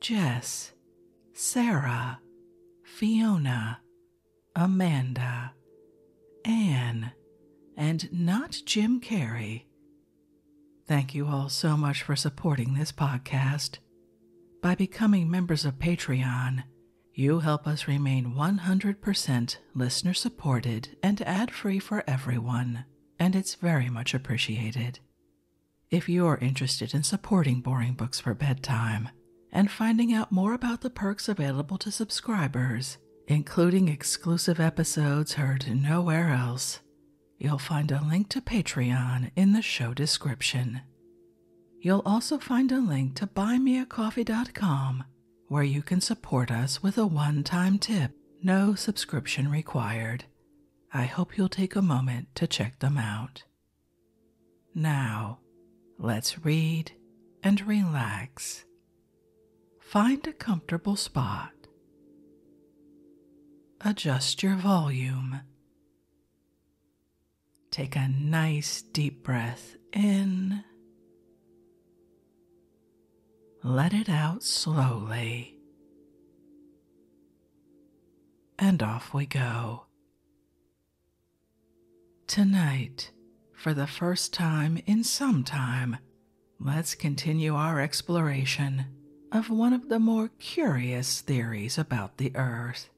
Jess, Sarah, Fiona, Amanda, Anne, and not Jim Carrey. Thank you all so much for supporting this podcast. By becoming members of Patreon, you help us remain 100% listener supported and ad free for everyone, and it's very much appreciated. If you're interested in supporting Boring Books for Bedtime and finding out more about the perks available to subscribers, including exclusive episodes heard nowhere else, you'll find a link to Patreon in the show description. You'll also find a link to buymeacoffee.com where you can support us with a one time tip, no subscription required. I hope you'll take a moment to check them out. Now, let's read and relax. Find a comfortable spot. Adjust your volume. Take a nice deep breath in. Let it out slowly. And off we go. Tonight, for the first time in some time, let's continue our exploration of one of the more curious theories about the Earth,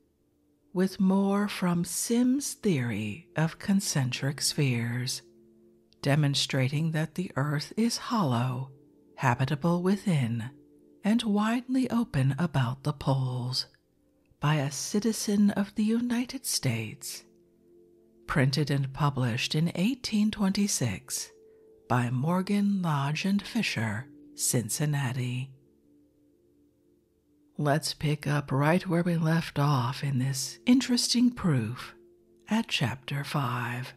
with more from Sim's theory of concentric spheres, demonstrating that the Earth is hollow habitable within and widely open about the poles, by a citizen of the United States, printed and published in 1826 by Morgan, Lodge, and Fisher, Cincinnati. Let's pick up right where we left off in this interesting proof at Chapter 5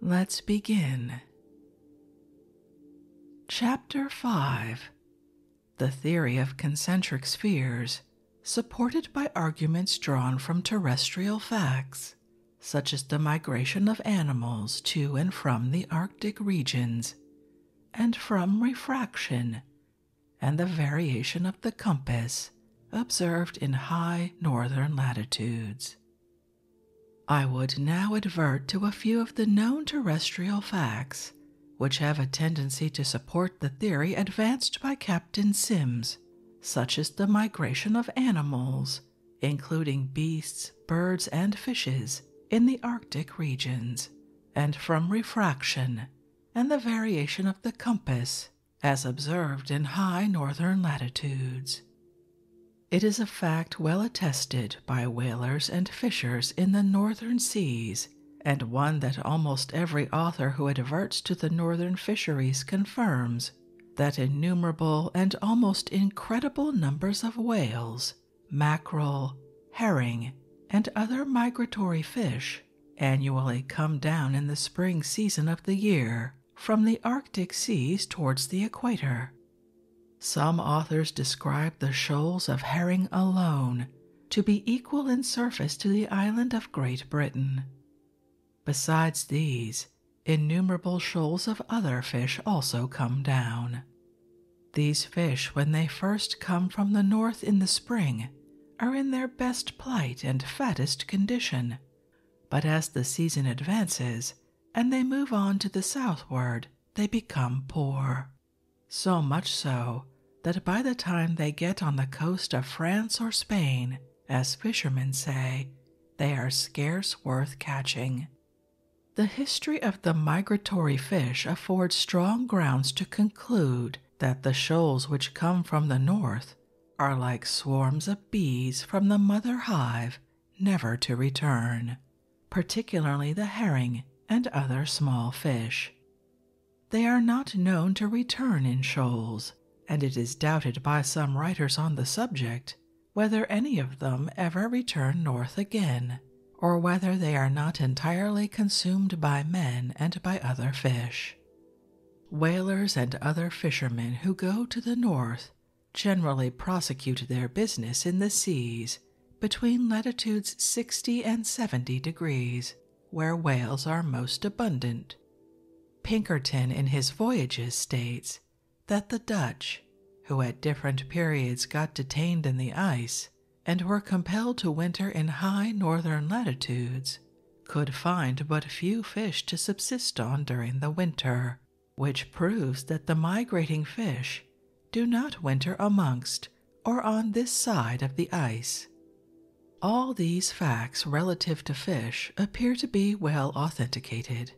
Let's begin. Chapter 5 The Theory of Concentric Spheres, supported by arguments drawn from terrestrial facts, such as the migration of animals to and from the Arctic regions, and from refraction, and the variation of the compass observed in high northern latitudes. I would now advert to a few of the known terrestrial facts which have a tendency to support the theory advanced by Captain Sims, such as the migration of animals, including beasts, birds, and fishes, in the Arctic regions, and from refraction and the variation of the compass as observed in high northern latitudes. It is a fact well attested by whalers and fishers in the northern seas, and one that almost every author who adverts to the northern fisheries confirms that innumerable and almost incredible numbers of whales, mackerel, herring, and other migratory fish annually come down in the spring season of the year from the Arctic seas towards the equator. Some authors describe the shoals of herring alone to be equal in surface to the island of Great Britain. Besides these, innumerable shoals of other fish also come down. These fish, when they first come from the north in the spring, are in their best plight and fattest condition, but as the season advances and they move on to the southward, they become poor. So much so that by the time they get on the coast of France or Spain, as fishermen say, they are scarce worth catching. The history of the migratory fish affords strong grounds to conclude that the shoals which come from the north are like swarms of bees from the mother hive, never to return, particularly the herring and other small fish. They are not known to return in shoals, and it is doubted by some writers on the subject whether any of them ever return north again, or whether they are not entirely consumed by men and by other fish. Whalers and other fishermen who go to the north generally prosecute their business in the seas between latitudes 60 and 70 degrees, where whales are most abundant. Pinkerton in his voyages states that the Dutch, who at different periods got detained in the ice and were compelled to winter in high northern latitudes, could find but few fish to subsist on during the winter, which proves that the migrating fish do not winter amongst or on this side of the ice. All these facts relative to fish appear to be well authenticated.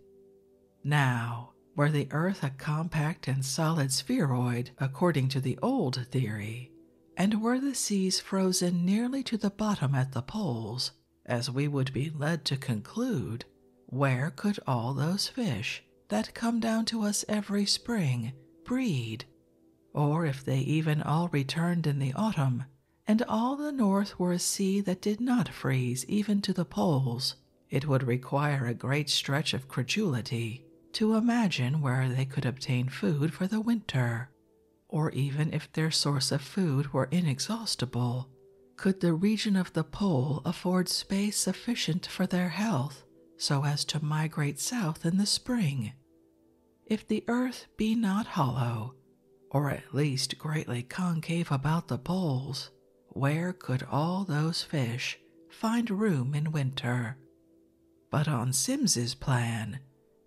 Now, were the Earth a compact and solid spheroid according to the old theory, and were the seas frozen nearly to the bottom at the poles, as we would be led to conclude, where could all those fish that come down to us every spring breed? Or if they even all returned in the autumn, and all the north were a sea that did not freeze even to the poles, it would require a great stretch of credulity to imagine where they could obtain food for the winter or even if their source of food were inexhaustible, could the region of the pole afford space sufficient for their health so as to migrate south in the spring? If the earth be not hollow, or at least greatly concave about the poles, where could all those fish find room in winter? But on Sims's plan,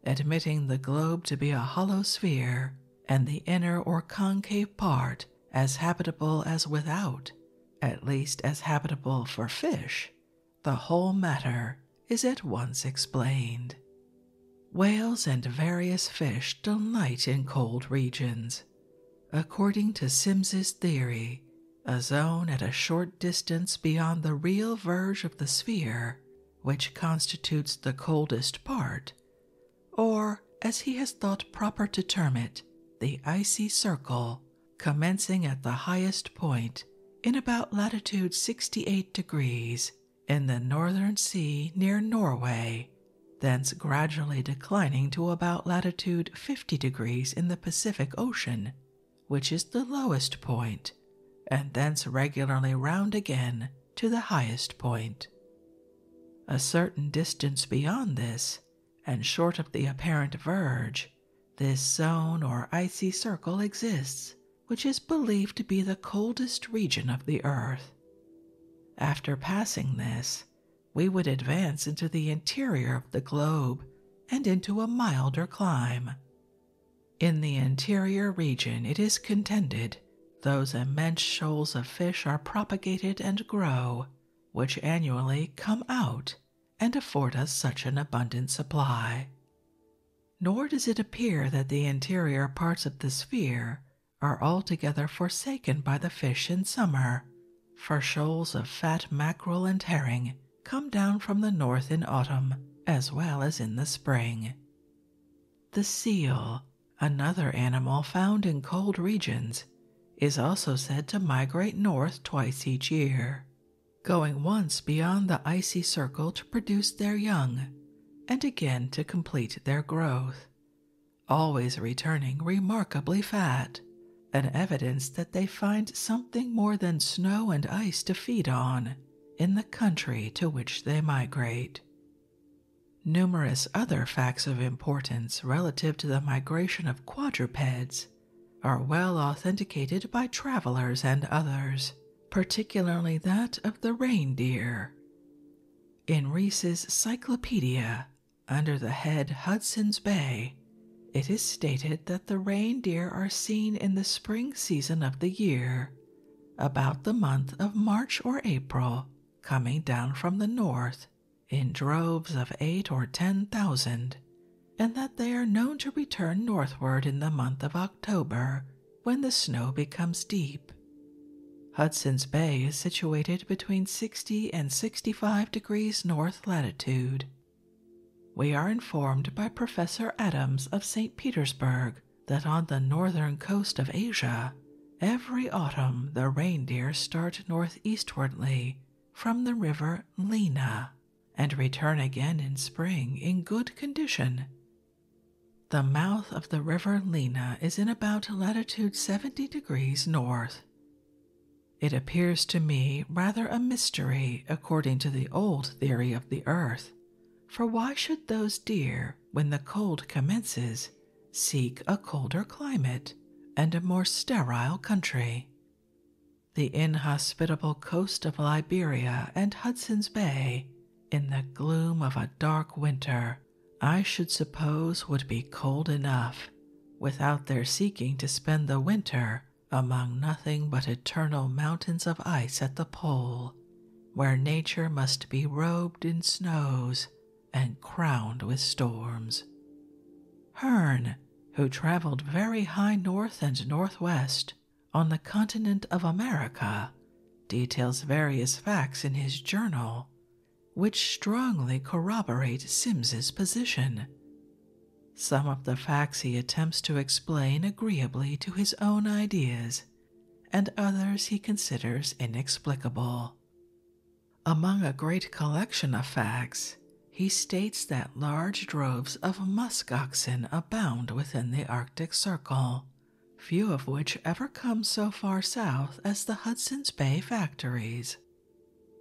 admitting the globe to be a hollow sphere and the inner or concave part as habitable as without, at least as habitable for fish, the whole matter is at once explained. Whales and various fish delight in cold regions. According to Sims's theory, a zone at a short distance beyond the real verge of the sphere which constitutes the coldest part, or, as he has thought proper to term it, the icy circle, commencing at the highest point in about latitude 68 degrees in the northern sea near Norway, thence gradually declining to about latitude 50 degrees in the Pacific Ocean, which is the lowest point, and thence regularly round again to the highest point. A certain distance beyond this, and short of the apparent verge, this zone or icy circle exists, which is believed to be the coldest region of the earth. After passing this, we would advance into the interior of the globe and into a milder clime. In the interior region, it is contended, those immense shoals of fish are propagated and grow, which annually come out and afford us such an abundant supply. Nor does it appear that the interior parts of the sphere are altogether forsaken by the fish in summer, for shoals of fat mackerel and herring come down from the north in autumn as well as in the spring. The seal, another animal found in cold regions, is also said to migrate north twice each year, going once beyond the icy circle to produce their young, and again to complete their growth, always returning remarkably fat, an evidence that they find something more than snow and ice to feed on in the country to which they migrate. Numerous other facts of importance relative to the migration of quadrupeds are well authenticated by travelers and others, particularly that of the reindeer. In Rees's Cyclopedia, under the head Hudson's Bay, it is stated that the reindeer are seen in the spring season of the year about the month of March or April, coming down from the north in droves of eight or ten thousand, and that they are known to return northward in the month of October when the snow becomes deep. Hudson's Bay is situated between 60 and 65 degrees north latitude. We are informed by Professor Adams of St. Petersburg that on the northern coast of Asia, every autumn the reindeer start northeastwardly from the river Lena and return again in spring in good condition. The mouth of the river Lena is in about latitude 70 degrees north. It appears to me rather a mystery according to the old theory of the earth for why should those deer, when the cold commences, seek a colder climate and a more sterile country? The inhospitable coast of Liberia and Hudson's Bay, in the gloom of a dark winter, I should suppose would be cold enough without their seeking to spend the winter among nothing but eternal mountains of ice at the pole where nature must be robed in snows and crowned with storms. Hearne, who traveled very high north and northwest on the continent of America, details various facts in his journal which strongly corroborate Sims's position. Some of the facts he attempts to explain agreeably to his own ideas and others he considers inexplicable. Among a great collection of facts, he states that large droves of musk oxen abound within the Arctic Circle, few of which ever come so far south as the Hudson's Bay factories.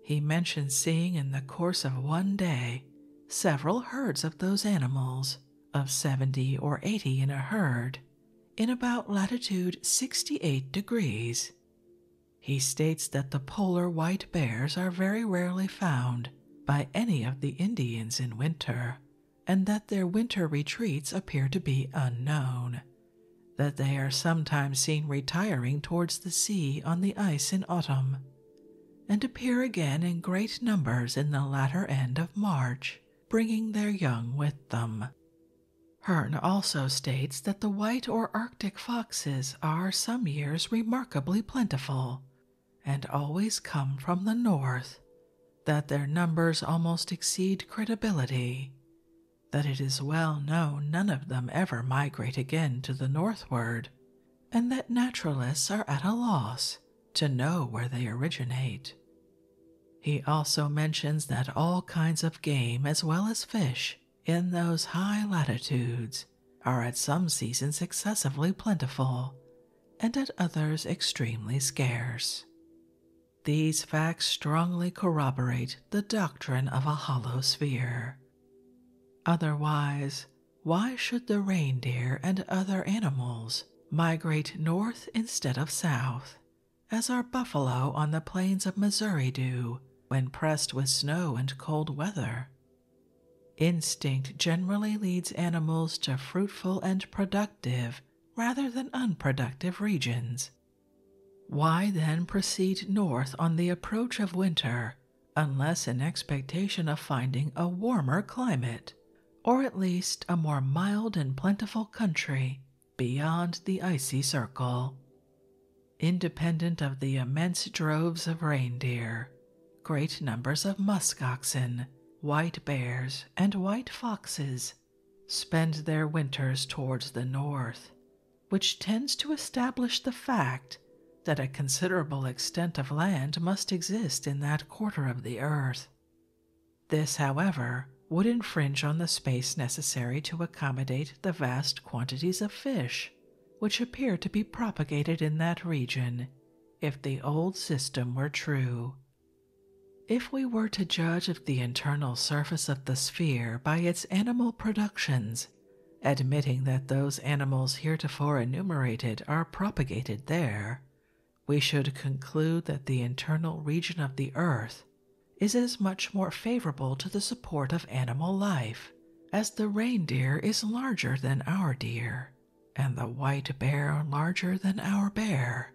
He mentions seeing in the course of one day several herds of those animals, of 70 or 80 in a herd, in about latitude 68 degrees. He states that the polar white bears are very rarely found by any of the Indians in winter, and that their winter retreats appear to be unknown. That they are sometimes seen retiring towards the sea on the ice in autumn, and appear again in great numbers in the latter end of March bringing their young with them. Hearn also states that the white or Arctic foxes are some years remarkably plentiful and always come from the north, that their numbers almost exceed credibility, that it is well known none of them ever migrate again to the northward, and that naturalists are at a loss to know where they originate. He also mentions that all kinds of game as well as fish in those high latitudes are at some seasons excessively plentiful and at others extremely scarce. These facts strongly corroborate the doctrine of a hollow sphere. Otherwise, why should the reindeer and other animals migrate north instead of south, as our buffalo on the plains of Missouri do when pressed with snow and cold weather. Instinct generally leads animals to fruitful and productive rather than unproductive regions. Why then proceed north on the approach of winter unless in expectation of finding a warmer climate or at least a more mild and plentiful country beyond the icy circle. Independent of the immense droves of reindeer, great numbers of musk oxen, white bears, and white foxes spend their winters towards the north, which tends to establish the fact that a considerable extent of land must exist in that quarter of the earth. This, however, would infringe on the space necessary to accommodate the vast quantities of fish which appear to be propagated in that region if the old system were true. If we were to judge of the internal surface of the sphere by its animal productions, admitting that those animals heretofore enumerated are propagated there, we should conclude that the internal region of the earth is as much more favorable to the support of animal life as the reindeer is larger than our deer and the white bear larger than our bear,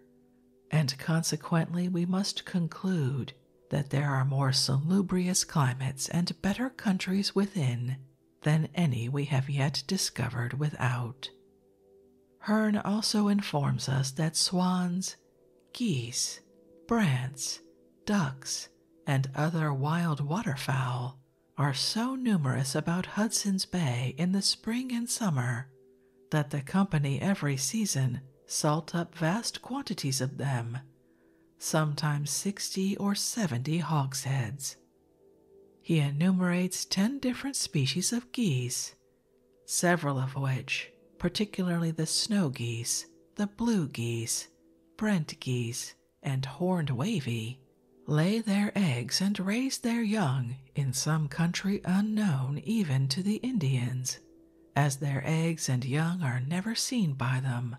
and consequently we must conclude that there are more salubrious climates and better countries within than any we have yet discovered without. Hearn also informs us that swans, geese, brants, ducks, and other wild waterfowl are so numerous about Hudson's Bay in the spring and summer that the company every season salt up vast quantities of them, sometimes sixty or seventy hogsheads. He enumerates 10 different species of geese, several of which, particularly the snow geese, the blue geese, brent geese, and horned wavy, lay their eggs and raise their young in some country unknown even to the Indians, as their eggs and young are never seen by them.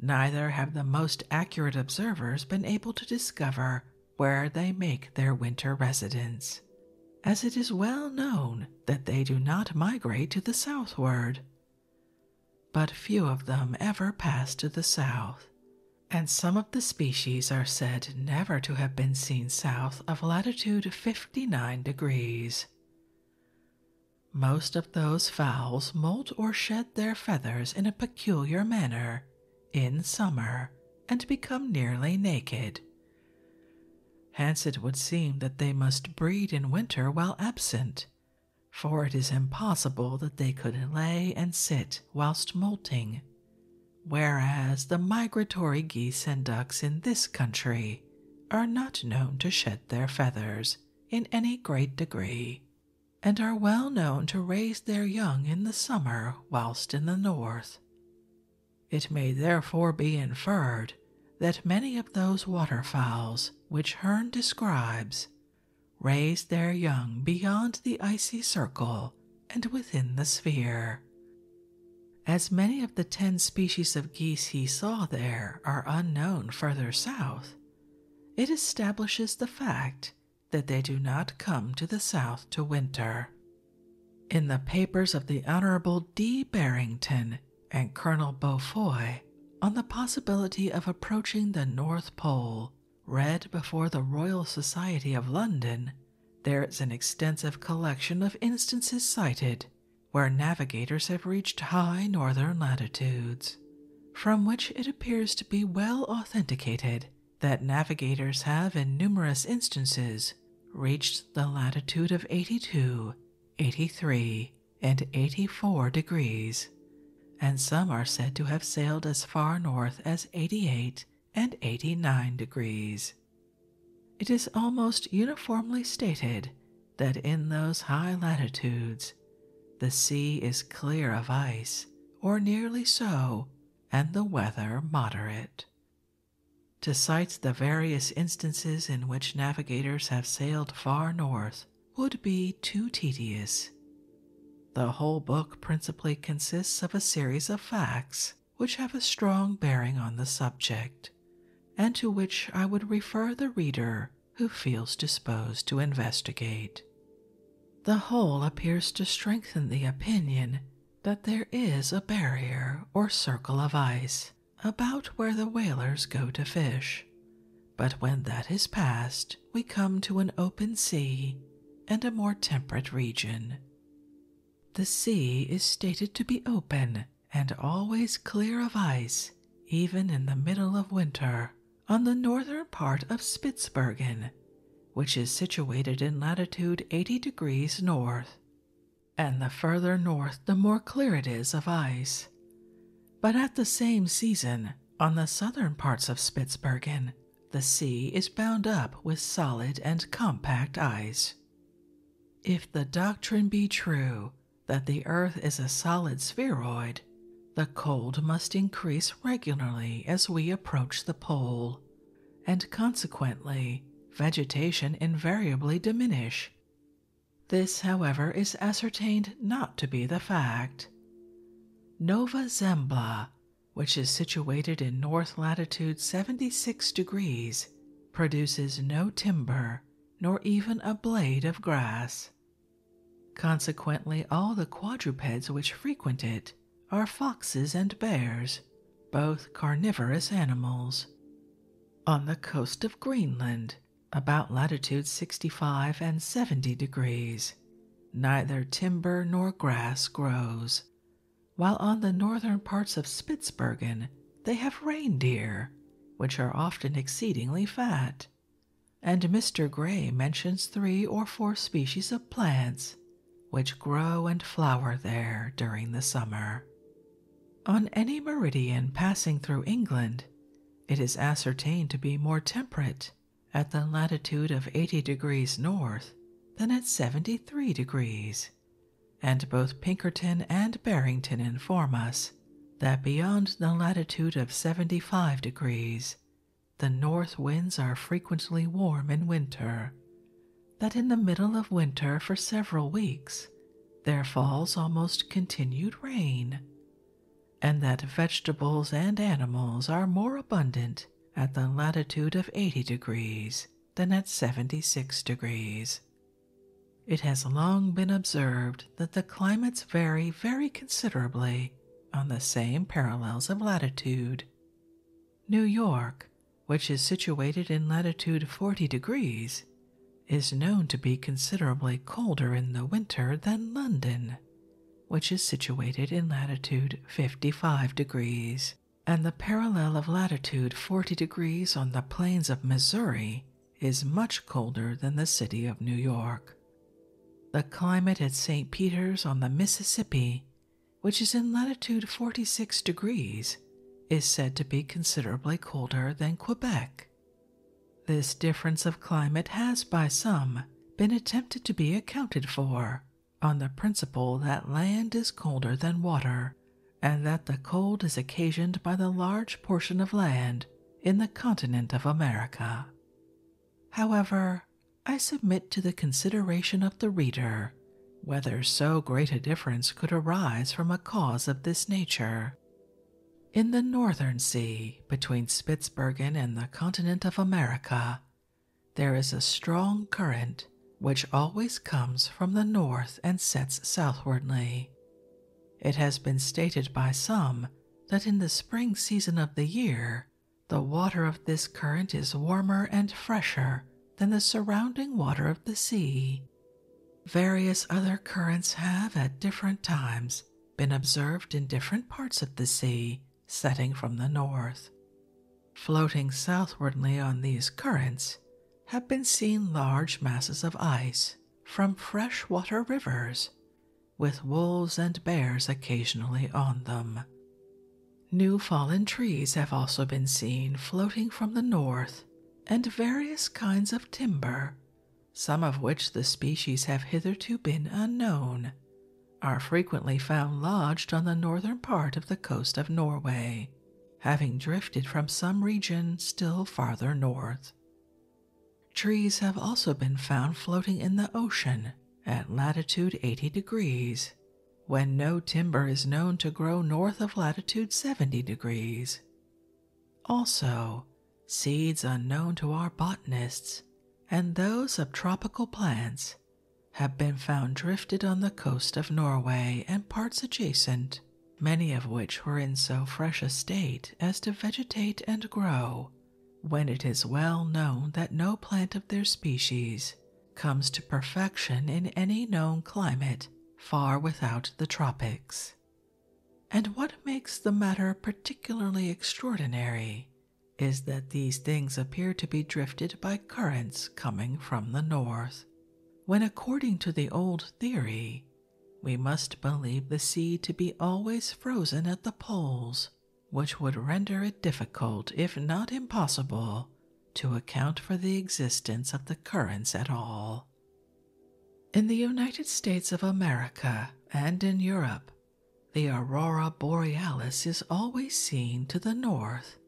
Neither have the most accurate observers been able to discover where they make their winter residence, as it is well known that they do not migrate to the southward. But few of them ever pass to the south, and some of the species are said never to have been seen south of latitude 59 degrees. Most of those fowls molt or shed their feathers in a peculiar manner in summer and become nearly naked. Hence it would seem that they must breed in winter while absent, for it is impossible that they could lay and sit whilst moulting, whereas the migratory geese and ducks in this country are not known to shed their feathers in any great degree, and are well known to raise their young in the summer whilst in the north. It may therefore be inferred that many of those water fowls which Hearn describes raise their young beyond the icy circle and within the sphere. As many of the ten species of geese he saw there are unknown further south, it establishes the fact that they do not come to the South to winter. In the papers of the Honorable D. Barrington and Colonel Beaufoy on the possibility of approaching the North Pole, read before the Royal Society of London, there is an extensive collection of instances cited where navigators have reached high northern latitudes, from which it appears to be well authenticated that navigators have in numerous instances reached the latitude of 82, 83, and 84 degrees, and some are said to have sailed as far north as 88 and 89 degrees. It is almost uniformly stated that in those high latitudes the sea is clear of ice, or nearly so, and the weather moderate. To cite the various instances in which navigators have sailed far north would be too tedious. The whole book principally consists of a series of facts which have a strong bearing on the subject, and to which I would refer the reader who feels disposed to investigate. The whole appears to strengthen the opinion that there is a barrier or circle of ice about where the whalers go to fish. But when that is passed, we come to an open sea and a more temperate region. The sea is stated to be open and always clear of ice, even in the middle of winter, on the northern part of Spitzbergen which is situated in latitude 80 degrees north, and the further north the more clear it is of ice. But at the same season, on the southern parts of Spitzbergen, the sea is bound up with solid and compact ice. If the doctrine be true that the Earth is a solid spheroid, the cold must increase regularly as we approach the pole and consequently, vegetation invariably diminish. This, however, is ascertained not to be the fact. Nova Zembla, which is situated in north latitude 76 degrees, produces no timber nor even a blade of grass. Consequently, all the quadrupeds which frequent it are foxes and bears, both carnivorous animals. On the coast of Greenland, about latitude 65 and 70 degrees, neither timber nor grass grows, while on the northern parts of Spitzbergen they have reindeer, which are often exceedingly fat. And Mr. Gray mentions three or four species of plants which grow and flower there during the summer. On any meridian passing through England, it is ascertained to be more temperate at the latitude of 80 degrees north than at 73 degrees, and both Pinkerton and Barrington inform us that beyond the latitude of 75 degrees the north winds are frequently warm in winter, that in the middle of winter for several weeks there falls almost continued rain, and that vegetables and animals are more abundant at the latitude of 80 degrees than at 76 degrees. It has long been observed that the climates vary very considerably on the same parallels of latitude New York, which is situated in latitude 40 degrees, is known to be considerably colder in the winter than London, which is situated in latitude 55 degrees, and the parallel of latitude 40 degrees on the plains of Missouri is much colder than the city of New York. The climate at St. Peter's on the Mississippi which is in latitude 46 degrees, is said to be considerably colder than Quebec. This difference of climate has by some been attempted to be accounted for on the principle that land is colder than water and that the cold is occasioned by the large portion of land in the continent of America. However, I submit to the consideration of the reader whether so great a difference could arise from a cause of this nature. In the northern sea, between Spitzbergen and the continent of America, there is a strong current which always comes from the north and sets southwardly. It has been stated by some that in the spring season of the year the water of this current is warmer and fresher than the surrounding water of the sea. Various other currents have at different times been observed in different parts of the sea, setting from the north. Floating southwardly on these currents have been seen large masses of ice from fresh water rivers, with wolves and bears occasionally on them. New fallen trees have also been seen floating from the north, and various kinds of timber, some of which the species have hitherto been unknown, are frequently found lodged on the northern part of the coast of Norway, having drifted from some region still farther north. Trees have also been found floating in the ocean at latitude 80 degrees, when no timber is known to grow north of latitude 70 degrees. Also, seeds unknown to our botanists and those of tropical plants have been found drifted on the coast of Norway and parts adjacent, many of which were in so fresh a state as to vegetate and grow when it is well known that no plant of their species comes to perfection in any known climate far without the tropics. And what makes the matter particularly extraordinary is that these things appear to be drifted by currents coming from the north, when according to the old theory, we must believe the sea to be always frozen at the poles which would render it difficult, if not impossible, to account for the existence of the currents at all. In the United States of America and in Europe, the aurora borealis is always seen to the north,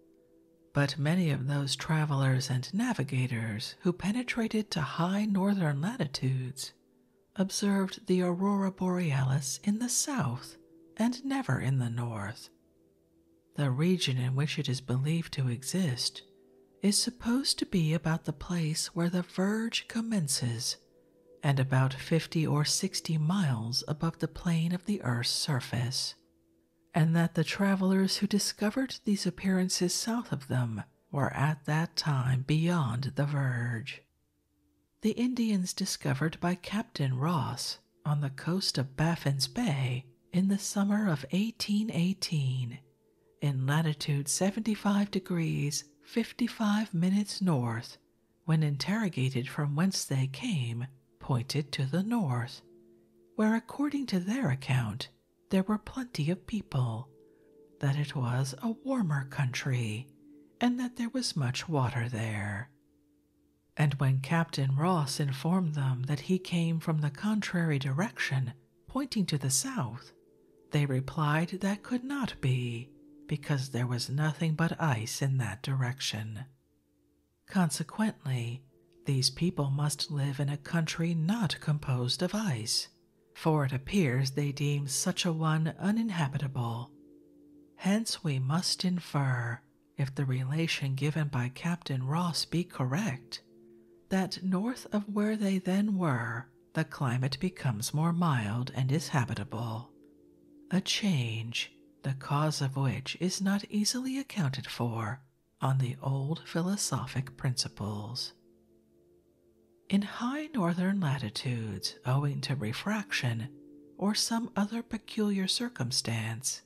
but many of those travelers and navigators who penetrated to high northern latitudes observed the aurora borealis in the south and never in the north. The region in which it is believed to exist is supposed to be about the place where the verge commences and about 50 or 60 miles above the plane of the Earth's surface, and that the travelers who discovered these appearances south of them were at that time beyond the verge. The Indians discovered by Captain Ross on the coast of Baffin's Bay in the summer of 1818 in latitude 75 degrees 55 minutes north, when interrogated from whence they came, pointed to the north, where, according to their account, there were plenty of people, that it was a warmer country, and that there was much water there. And when Captain Ross informed them that he came from the contrary direction, pointing to the south, they replied that could not be, because there was nothing but ice in that direction. Consequently, these people must live in a country not composed of ice, for it appears they deem such a one uninhabitable. Hence, we must infer, if the relation given by Captain Ross be correct, that north of where they then were, the climate becomes more mild and is habitable, a change the cause of which is not easily accounted for on the old philosophic principles. In high northern latitudes, owing to refraction, or some other peculiar circumstance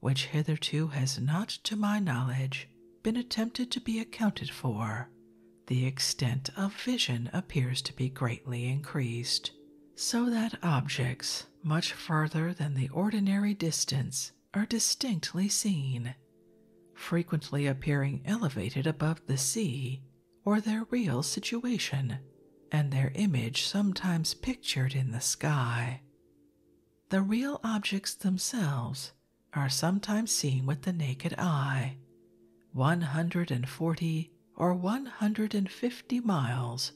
which hitherto has not, to my knowledge, been attempted to be accounted for, the extent of vision appears to be greatly increased, so that objects much further than the ordinary distance are distinctly seen, frequently appearing elevated above the sea or their real situation and their image sometimes pictured in the sky. The real objects themselves are sometimes seen with the naked eye, 140 or 150 miles,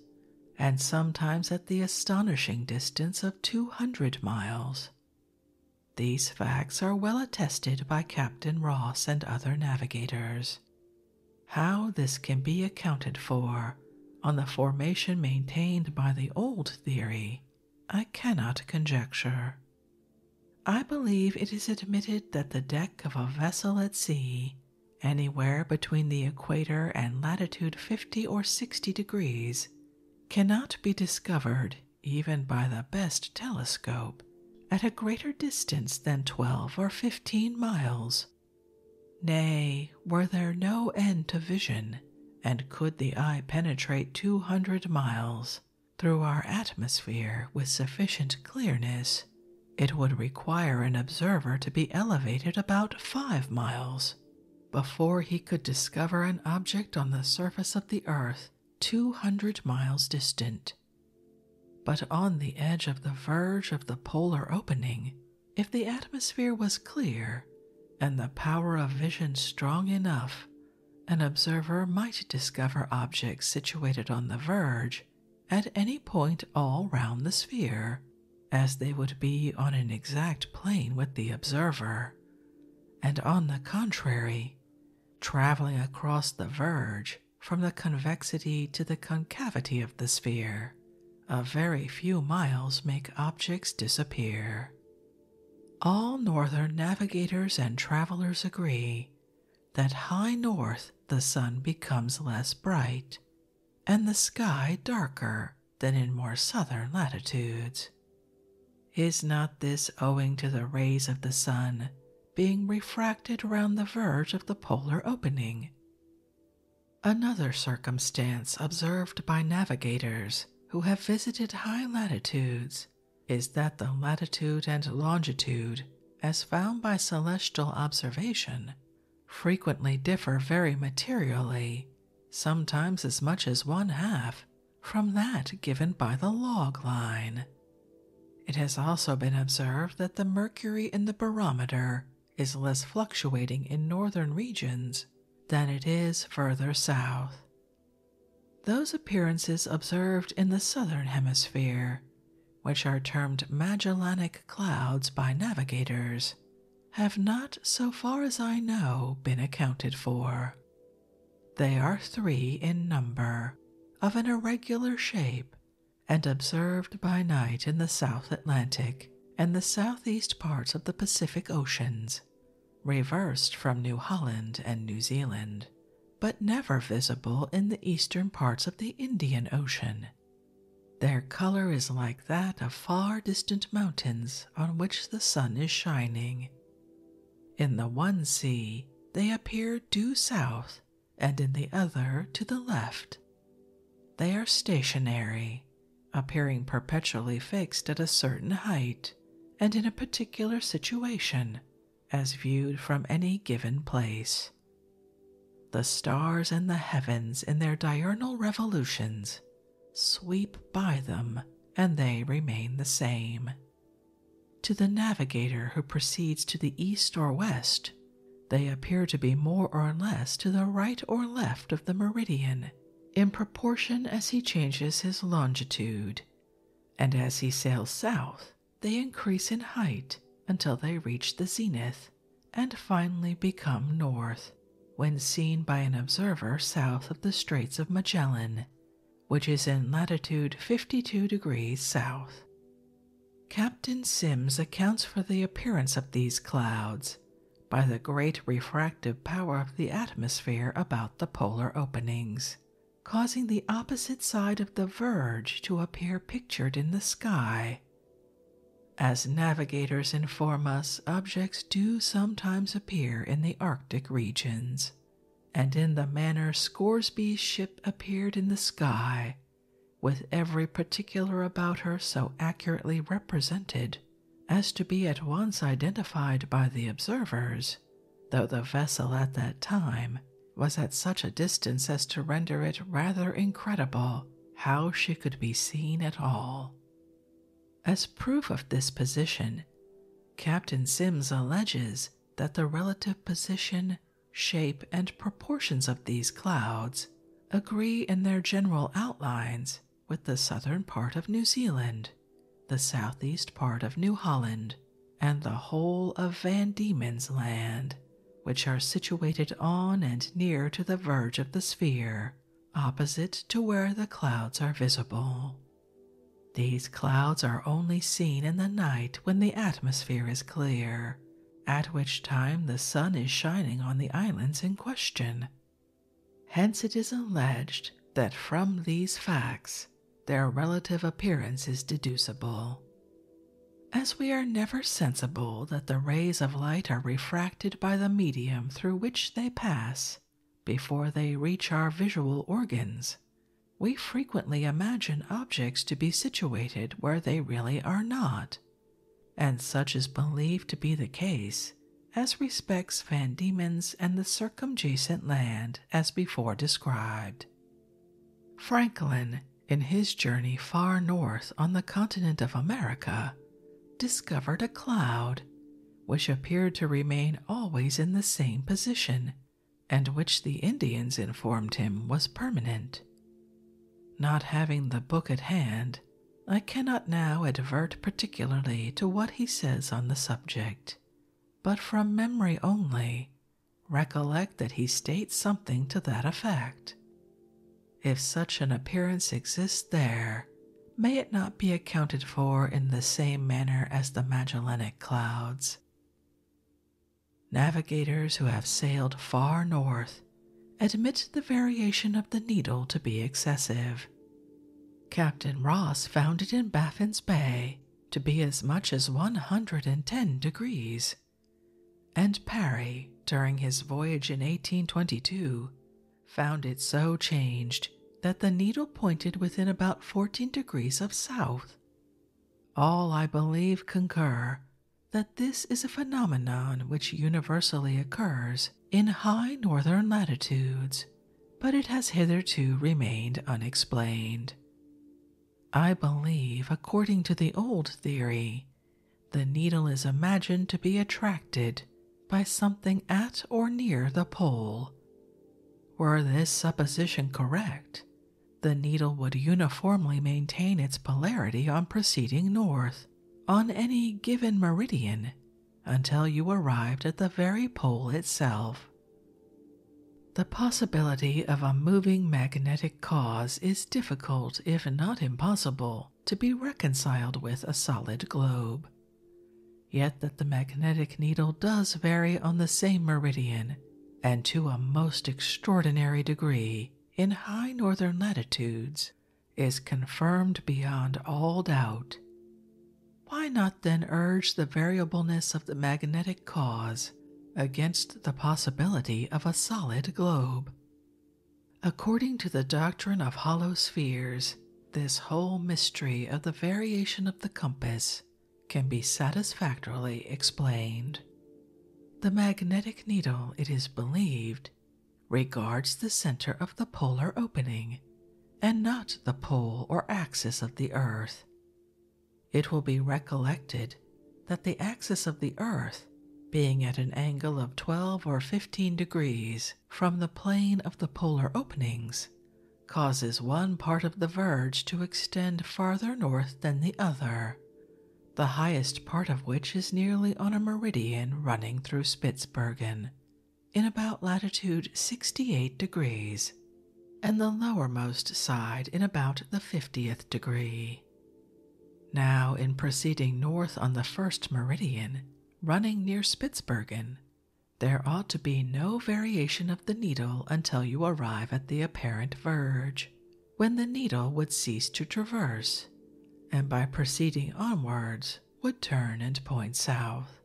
and sometimes at the astonishing distance of 200 miles. These facts are well attested by Captain Ross and other navigators, how this can be accounted for on the formation maintained by the old theory, I cannot conjecture. I believe it is admitted that the deck of a vessel at sea, anywhere between the equator and latitude 50 or 60 degrees, cannot be discovered even by the best telescope at a greater distance than twelve or fifteen miles. Nay, were there no end to vision, and could the eye penetrate two hundred miles through our atmosphere with sufficient clearness, it would require an observer to be elevated about five miles before he could discover an object on the surface of the earth two hundred miles distant. But on the edge of the verge of the polar opening, if the atmosphere was clear and the power of vision strong enough, an observer might discover objects situated on the verge at any point all round the sphere, as they would be on an exact plane with the observer. And on the contrary, traveling across the verge, from the convexity to the concavity of the sphere. A very few miles make objects disappear. All northern navigators and travelers agree that high north the sun becomes less bright and the sky darker than in more southern latitudes. Is not this owing to the rays of the sun being refracted round the verge of the polar opening. Another circumstance observed by navigators who have visited high latitudes is that the latitude and longitude, as found by celestial observation, frequently differ very materially, sometimes as much as one half, from that given by the log line. It has also been observed that the mercury in the barometer is less fluctuating in northern regions than it is further south. Those appearances observed in the southern hemisphere, which are termed Magellanic clouds by navigators, have not, so far as I know, been accounted for. They are three in number, of an irregular shape, and observed by night in the South Atlantic and the southeast parts of the Pacific Oceans, reversed from New Holland and New Zealand, but never visible in the eastern parts of the Indian Ocean. Their color is like that of far distant mountains on which the sun is shining. In the one sea, they appear due south and in the other to the left. They are stationary, appearing perpetually fixed at a certain height and in a particular situation as viewed from any given place. The stars and the heavens in their diurnal revolutions sweep by them and they remain the same. To the navigator who proceeds to the east or west, they appear to be more or less to the right or left of the meridian in proportion as he changes his longitude, and as he sails south, they increase in height until they reach the zenith and finally become north when seen by an observer south of the Straits of Magellan, which is in latitude 52 degrees south. Captain Sims accounts for the appearance of these clouds by the great refractive power of the atmosphere about the polar openings, causing the opposite side of the verge to appear pictured in the sky. As navigators inform us, objects do sometimes appear in the Arctic regions, and in the manner Scoresby's ship appeared in the sky with every particular about her so accurately represented as to be at once identified by the observers, though the vessel at that time was at such a distance as to render it rather incredible how she could be seen at all. As proof of this position, Captain Sims alleges that the relative position shape, and proportions of these clouds agree in their general outlines with the southern part of New Zealand, the southeast part of New Holland, and the whole of Van Diemen's Land, which are situated on and near to the verge of the sphere, opposite to where the clouds are visible. These clouds are only seen in the night when the atmosphere is clear, at which time the sun is shining on the islands in question. Hence, it is alleged that from these facts, their relative appearance is deducible. As we are never sensible that the rays of light are refracted by the medium through which they pass before they reach our visual organs, we frequently imagine objects to be situated where they really are not, and such is believed to be the case as respects Van Diemen's and the circumjacent land as before described. Franklin, in his journey far north on the continent of America, discovered a cloud which appeared to remain always in the same position and which the Indians informed him was permanent. Not having the book at hand, I cannot now advert particularly to what he says on the subject, but from memory only, recollect that he states something to that effect. If such an appearance exists there, may it not be accounted for in the same manner as the Magellanic clouds? Navigators who have sailed far north admit the variation of the needle to be excessive. Captain Ross found it in Baffin's Bay to be as much as 110 degrees, and Parry, during his voyage in 1822, found it so changed that the needle pointed within about 14 degrees of south all, I believe, concur that this is a phenomenon which universally occurs in high northern latitudes, but it has hitherto remained unexplained. I believe, according to the old theory, the needle is imagined to be attracted by something at or near the pole. Were this supposition correct, the needle would uniformly maintain its polarity on proceeding north on any given meridian until you arrived at the very pole itself. The possibility of a moving magnetic cause is difficult, if not impossible, to be reconciled with a solid globe. Yet, that the magnetic needle does vary on the same meridian and to a most extraordinary degree in high northern latitudes is confirmed beyond all doubt. Why not then urge the variableness of the magnetic cause against the possibility of a solid globe? According to the doctrine of hollow spheres, this whole mystery of the variation of the compass can be satisfactorily explained. The magnetic needle, it is believed, regards the center of the polar opening and not the pole or axis of the Earth. It will be recollected that the axis of the Earth, being at an angle of 12 or 15 degrees from the plane of the polar openings, causes one part of the verge to extend farther north than the other, the highest part of which is nearly on a meridian running through Spitzbergen, in about latitude 68 degrees, and the lowermost side in about the 50th degree. Now, in proceeding north on the first meridian, running near Spitzbergen, there ought to be no variation of the needle until you arrive at the apparent verge, when the needle would cease to traverse, and by proceeding onwards would turn and point south.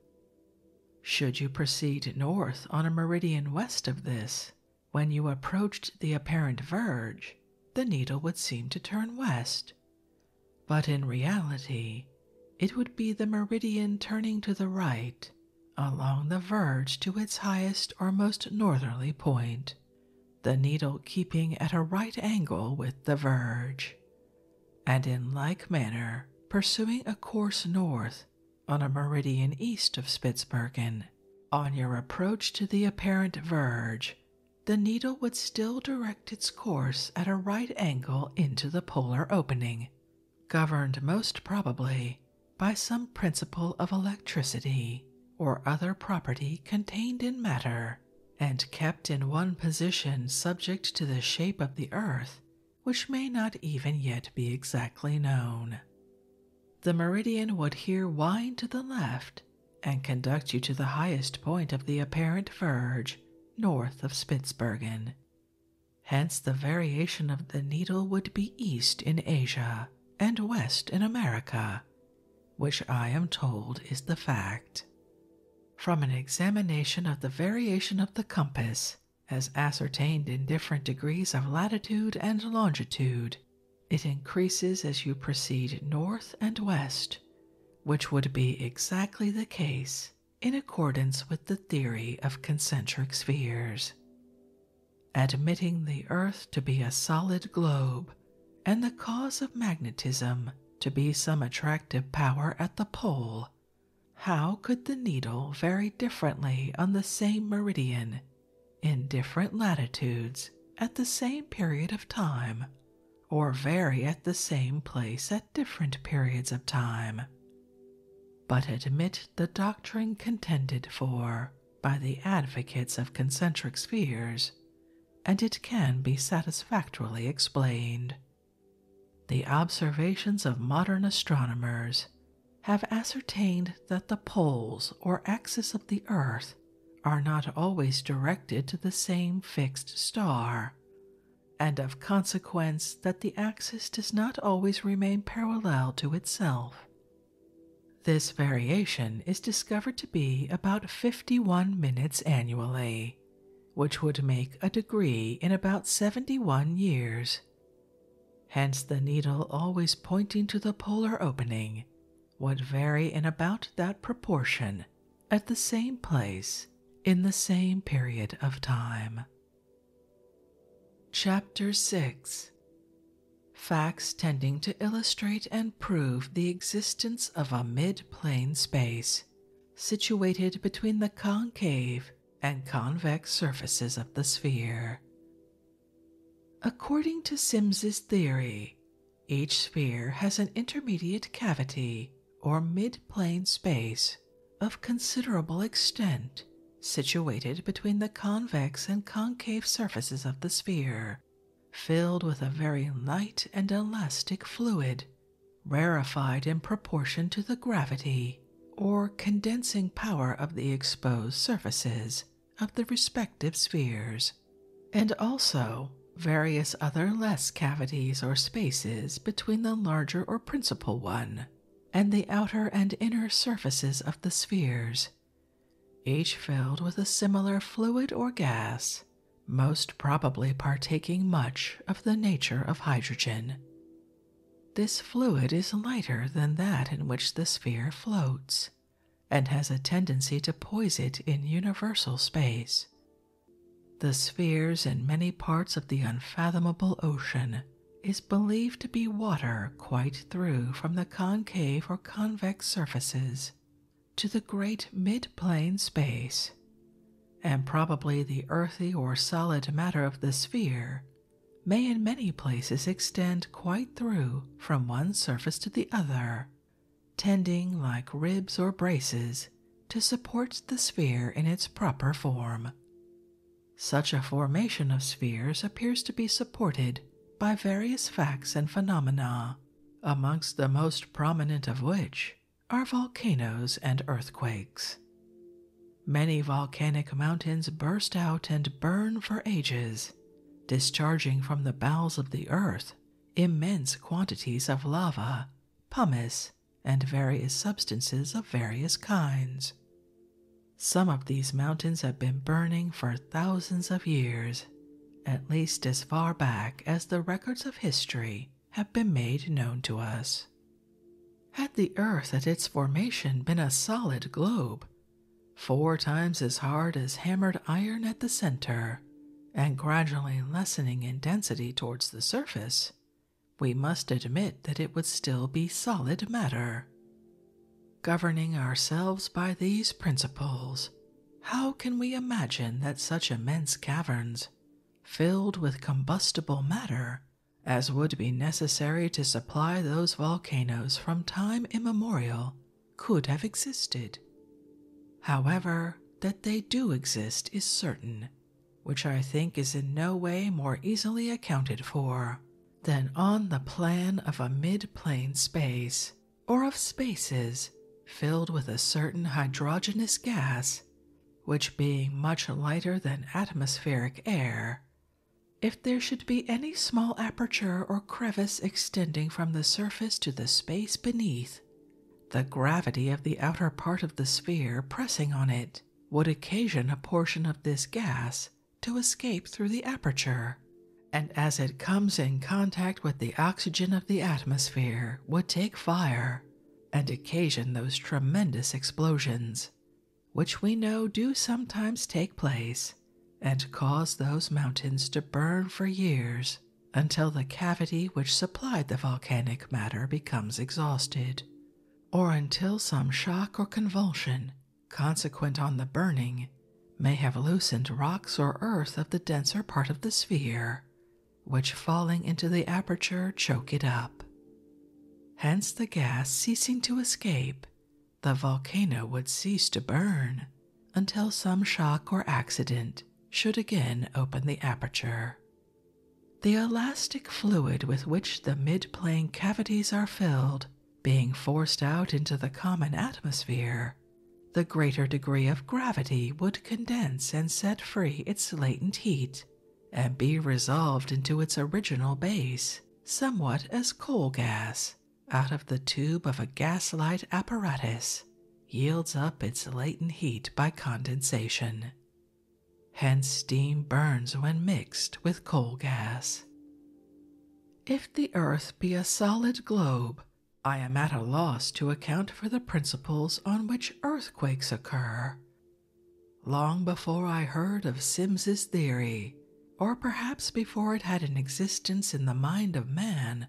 Should you proceed north on a meridian west of this, when you approached the apparent verge, the needle would seem to turn west, but in reality, it would be the meridian turning to the right along the verge to its highest or most northerly point, the needle keeping at a right angle with the verge, and in like manner pursuing a course north on a meridian east of Spitzbergen. On your approach to the apparent verge, the needle would still direct its course at a right angle into the polar opening, governed most probably by some principle of electricity or other property contained in matter, and kept in one position subject to the shape of the earth, which may not even yet be exactly known. The meridian would here wind to the left and conduct you to the highest point of the apparent verge north of Spitzbergen. Hence, the variation of the needle would be east in Asia and west in America, which I am told is the fact. From an examination of the variation of the compass, as ascertained in different degrees of latitude and longitude, it increases as you proceed north and west, which would be exactly the case in accordance with the theory of concentric spheres admitting the Earth to be a solid globe and the cause of magnetism to be some attractive power at the pole, how could the needle vary differently on the same meridian in different latitudes at the same period of time, or vary at the same place at different periods of time? But admit the doctrine contended for by the advocates of concentric spheres, and it can be satisfactorily explained. The observations of modern astronomers have ascertained that the poles or axis of the Earth are not always directed to the same fixed star, and of consequence that the axis does not always remain parallel to itself this variation is discovered to be about 51 minutes annually, which would make a degree in about 71 years. Hence, the needle always pointing to the polar opening would vary in about that proportion at the same place in the same period of time. Chapter 6 Facts tending to illustrate and prove the existence of a mid plane space situated between the concave and convex surfaces of the sphere. According to Sims's theory, each sphere has an intermediate cavity or mid plane space of considerable extent situated between the convex and concave surfaces of the sphere, filled with a very light and elastic fluid, rarefied in proportion to the gravity or condensing power of the exposed surfaces of the respective spheres, and also various other less cavities or spaces between the larger or principal one and the outer and inner surfaces of the spheres, each filled with a similar fluid or gas, most probably partaking much of the nature of hydrogen. This fluid is lighter than that in which the sphere floats and has a tendency to poise it in universal space. The spheres in many parts of the unfathomable ocean is believed to be water quite through from the concave or convex surfaces to the great mid-plane space, and probably the earthy or solid matter of the sphere may in many places extend quite through from one surface to the other, tending like ribs or braces to support the sphere in its proper form. Such a formation of spheres appears to be supported by various facts and phenomena, amongst the most prominent of which are volcanoes and earthquakes. Many volcanic mountains burst out and burn for ages, discharging from the bowels of the earth immense quantities of lava, pumice, and various substances of various kinds. Some of these mountains have been burning for thousands of years, at least as far back as the records of history have been made known to us. Had the Earth at its formation been a solid globe, four times as hard as hammered iron at the center, and gradually lessening in density towards the surface, we must admit that it would still be solid matter. Governing ourselves by these principles, how can we imagine that such immense caverns, filled with combustible matter, as would be necessary to supply those volcanoes from time immemorial, could have existed? However, that they do exist is certain, which I think is in no way more easily accounted for than on the plan of a mid plane space or of spaces filled with a certain hydrogenous gas, which being much lighter than atmospheric air. If there should be any small aperture or crevice extending from the surface to the space beneath, the gravity of the outer part of the sphere pressing on it would occasion a portion of this gas to escape through the aperture, and as it comes in contact with the oxygen of the atmosphere, would take fire and occasion those tremendous explosions, which we know do sometimes take place and cause those mountains to burn for years until the cavity which supplied the volcanic matter becomes exhausted, or until some shock or convulsion consequent on the burning, may have loosened rocks or earth of the denser part of the sphere, which falling into the aperture choke it up. Hence, the gas ceasing to escape, the volcano would cease to burn until some shock or accident should again open the aperture. The elastic fluid with which the mid plane cavities are filled being forced out into the common atmosphere, the greater degree of gravity would condense and set free its latent heat and be resolved into its original base, somewhat as coal gas out of the tube of a gaslight apparatus yields up its latent heat by condensation. Hence, steam burns when mixed with coal gas, if the earth be a solid globe, I am at a loss to account for the principles on which earthquakes occur. Long before I heard of Simms's theory, or perhaps before it had an existence in the mind of man,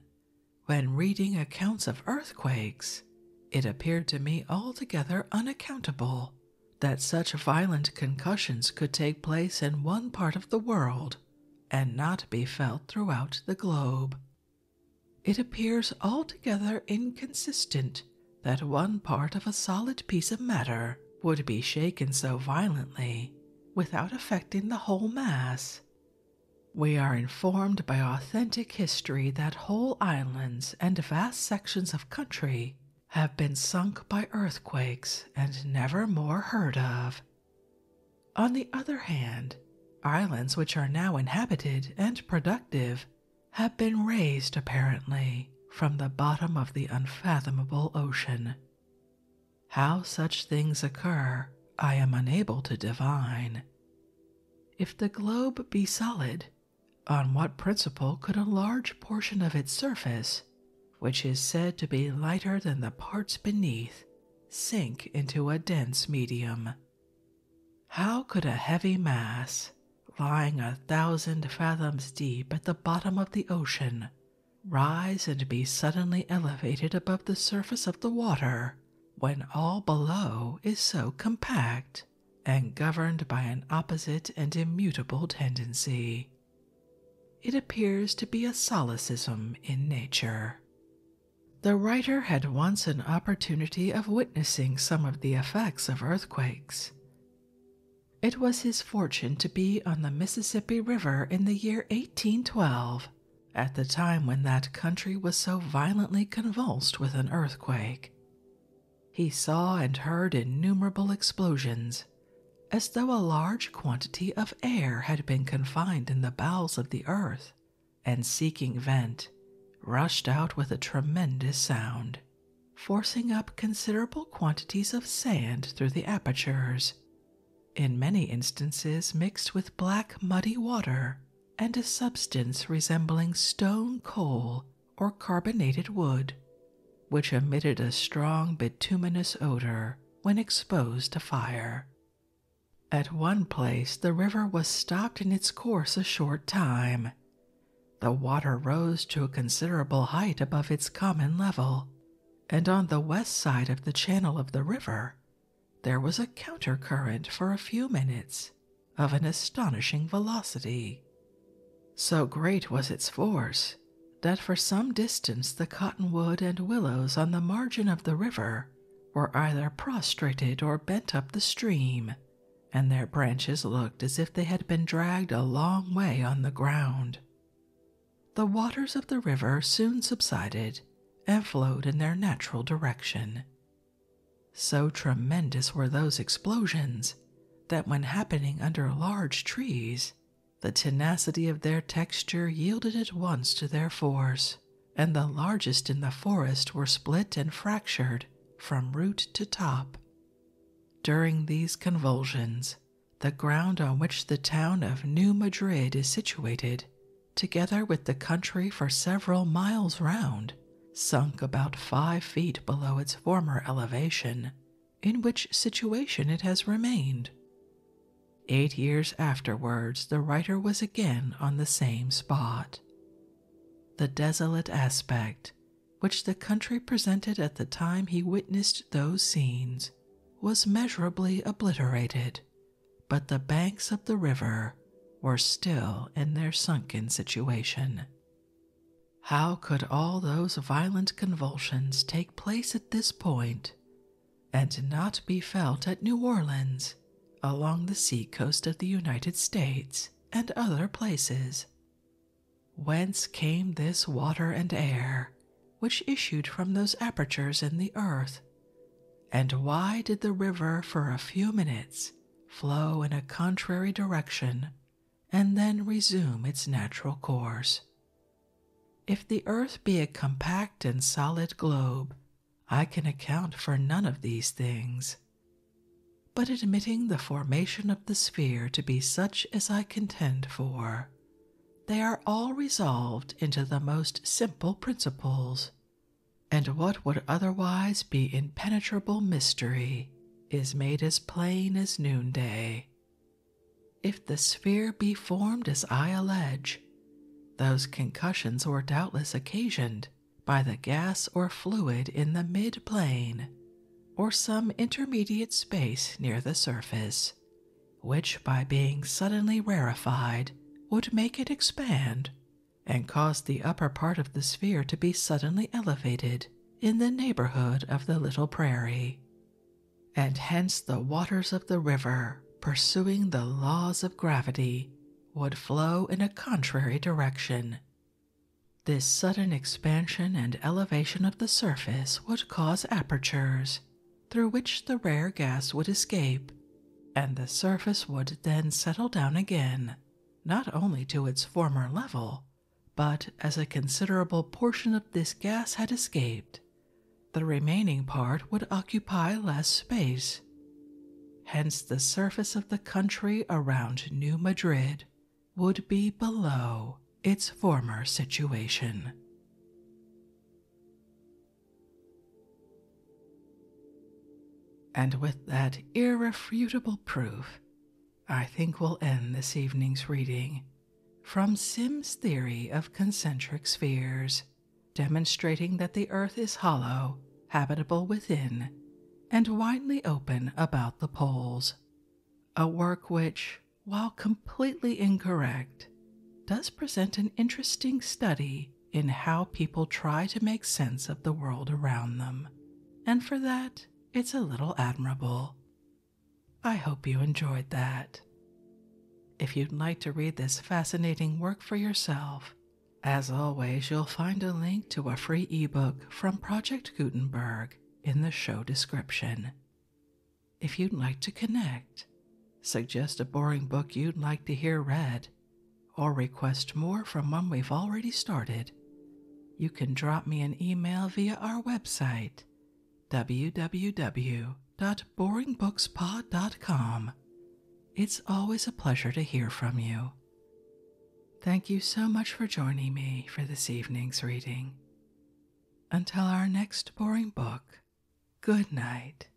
when reading accounts of earthquakes, it appeared to me altogether unaccountable that such violent concussions could take place in one part of the world and not be felt throughout the globe. It appears altogether inconsistent that one part of a solid piece of matter would be shaken so violently without affecting the whole mass. We are informed by authentic history that whole islands and vast sections of country have been sunk by earthquakes and never more heard of. On the other hand, islands which are now inhabited and productive have been raised apparently from the bottom of the unfathomable ocean. How such things occur, I am unable to divine. If the globe be solid, on what principle could a large portion of its surface, which is said to be lighter than the parts beneath, sink into a dense medium? How could a heavy mass, lying a thousand fathoms deep at the bottom of the ocean, rise and be suddenly elevated above the surface of the water when all below is so compact and governed by an opposite and immutable tendency? It appears to be a solecism in nature. The writer had once an opportunity of witnessing some of the effects of earthquakes. It was his fortune to be on the Mississippi River in the year 1812, at the time when that country was so violently convulsed with an earthquake. He saw and heard innumerable explosions, as though a large quantity of air had been confined in the bowels of the earth, and seeking vent, rushed out with a tremendous sound, forcing up considerable quantities of sand through the apertures, in many instances mixed with black muddy water and a substance resembling stone coal or carbonated wood, which emitted a strong bituminous odor when exposed to fire. At one place, the river was stopped in its course a short time. The water rose to a considerable height above its common level, and on the west side of the channel of the river, there was a counter current for a few minutes of an astonishing velocity. So great was its force that for some distance the cottonwood and willows on the margin of the river were either prostrated or bent up the stream, and their branches looked as if they had been dragged a long way on the ground. The waters of the river soon subsided and flowed in their natural direction. So tremendous were those explosions that when happening under large trees, the tenacity of their texture yielded at once to their force, and the largest in the forest were split and fractured from root to top. During these convulsions, the ground on which the town of New Madrid is situated, together with the country for several miles round, sunk about five feet below its former elevation in which situation it has remained. Eight years afterwards, the writer was again on the same spot. The desolate aspect which the country presented at the time he witnessed those scenes was measurably obliterated, but the banks of the river were still in their sunken situation. How could all those violent convulsions take place at this point and not be felt at New Orleans, along the sea coast of the United States, and other places? Whence came this water and air which issued from those apertures in the earth? And why did the river for a few minutes flow in a contrary direction and then resume its natural course. If the earth be a compact and solid globe, I can account for none of these things. But admitting the formation of the sphere to be such as I contend for, they are all resolved into the most simple principles, and what would otherwise be impenetrable mystery is made as plain as noonday. If the sphere be formed as I allege, those concussions were doubtless occasioned by the gas or fluid in the mid plane or some intermediate space near the surface, which by being suddenly rarefied would make it expand and cause the upper part of the sphere to be suddenly elevated in the neighborhood of the little prairie, and hence the waters of the river, pursuing the laws of gravity, would flow in a contrary direction. This sudden expansion and elevation of the surface would cause apertures through which the rare gas would escape, and the surface would then settle down again, not only to its former level, but as a considerable portion of this gas had escaped, the remaining part would occupy less space. Hence, the surface of the country around New Madrid would be below its former situation. And with that irrefutable proof, I think we'll end this evening's reading from Sim's theory of concentric spheres, demonstrating that the Earth is hollow, habitable within, and widely open about the poles. A work which, while completely incorrect, does present an interesting study in how people try to make sense of the world around them, and for that, it's a little admirable. I hope you enjoyed that. If you'd like to read this fascinating work for yourself, as always, you'll find a link to a free ebook from Project Gutenberg in the show description. If you'd like to connect, suggest a boring book you'd like to hear read, or request more from one we've already started, you can drop me an email via our website www.boringbookspod.com. It's always a pleasure to hear from you. Thank you so much for joining me for this evening's reading. Until our next boring book, good night.